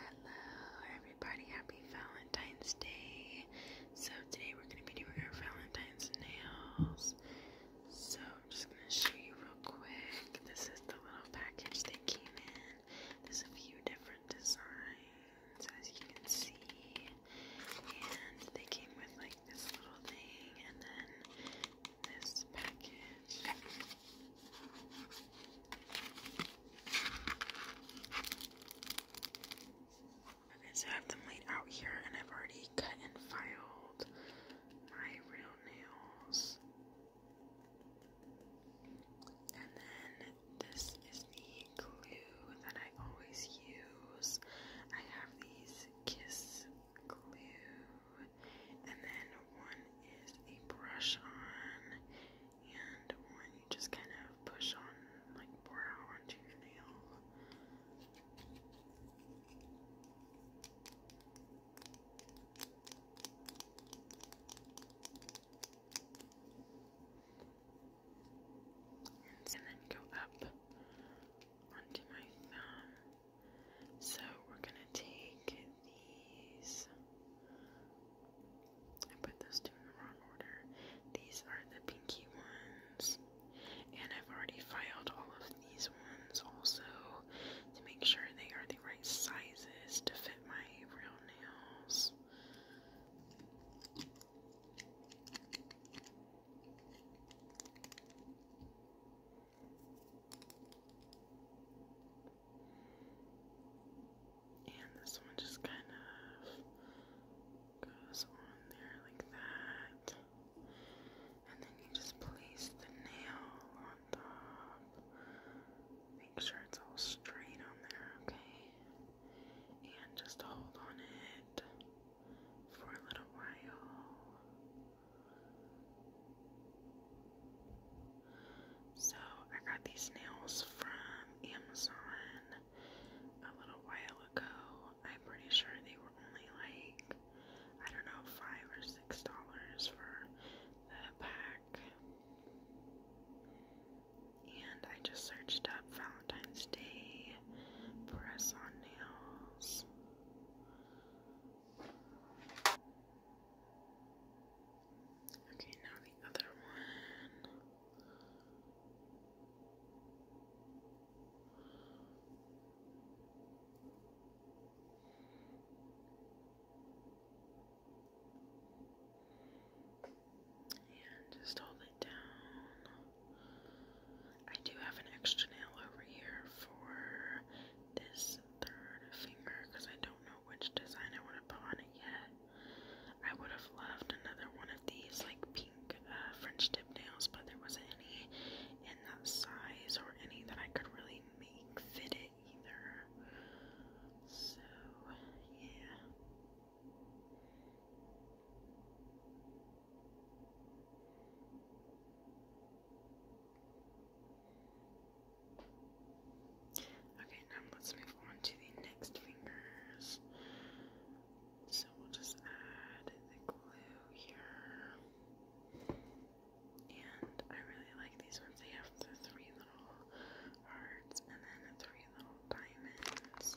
Hello, everybody. Happy Valentine's Day. So, today we're going to be doing our Valentine's nails. So, I'm just going to show you real quick. This is the little package they came in. There's a few different designs, as you can see. And they came with like this little thing and then this package. Okay, so I have them laid out here, and I've already cut and filed my real nails. And then this is the glue that I always use. I have these Kiss glue and then one is a brush on, and one you just kind of push on, like brow onto your nail. And then go up onto my thumb. So we're going to take these. I put those two in the wrong order. These are the pinky ones. And I've already filed all of these ones also to make sure they are the right sizes to fit my real nails. And this one just kind of goes on there like that. And then you just place the nail on top. Make sure it's all straight on there, okay? And just hold on it for a little while. So I got these nails from Amazon a little while ago. I'm pretty sure they were only like I don't know five or six dollars for the pack. And I just searched up Valentine's Day press on nails. Okay, now the other one. And just hold it down. I do have an extra nail over here for this third finger because I don't know which design I want to put on it yet. I would have loved another one of these like pink uh, French tip nails, but there wasn't any in that size or any that I could really make fit it either. So, yeah. Okay, now let's move on to the next fingers. So we'll just add the glue here. And I really like these ones. They have the three little hearts and then the three little diamonds.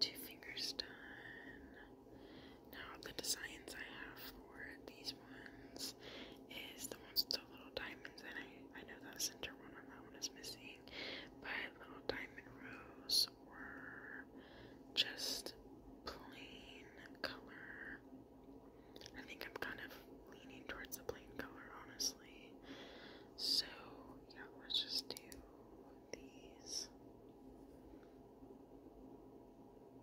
Two fingers done. Now the designs I have for these ones is the ones with the little diamonds and I, I know that center one on that one is missing. But little diamond rows were just plain color. I think I'm kind of leaning towards the plain color, honestly. So, yeah, let's just do these.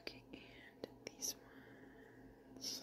Okay, and these ones.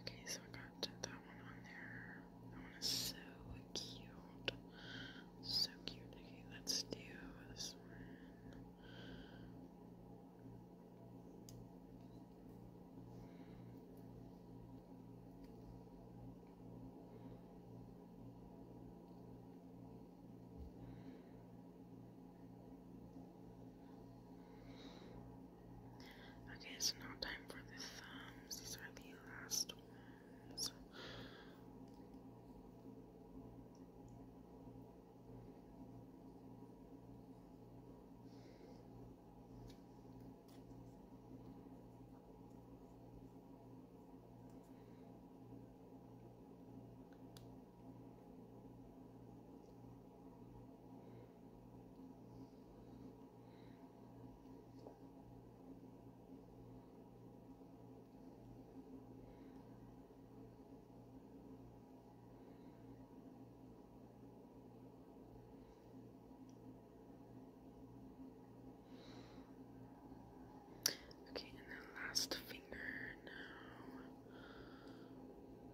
Okay, so I got that one on there. That one is so cute. So cute. Okay, let's do this one. Okay, so now time for the thumbs. These are the last ones. Okay, and then last finger now.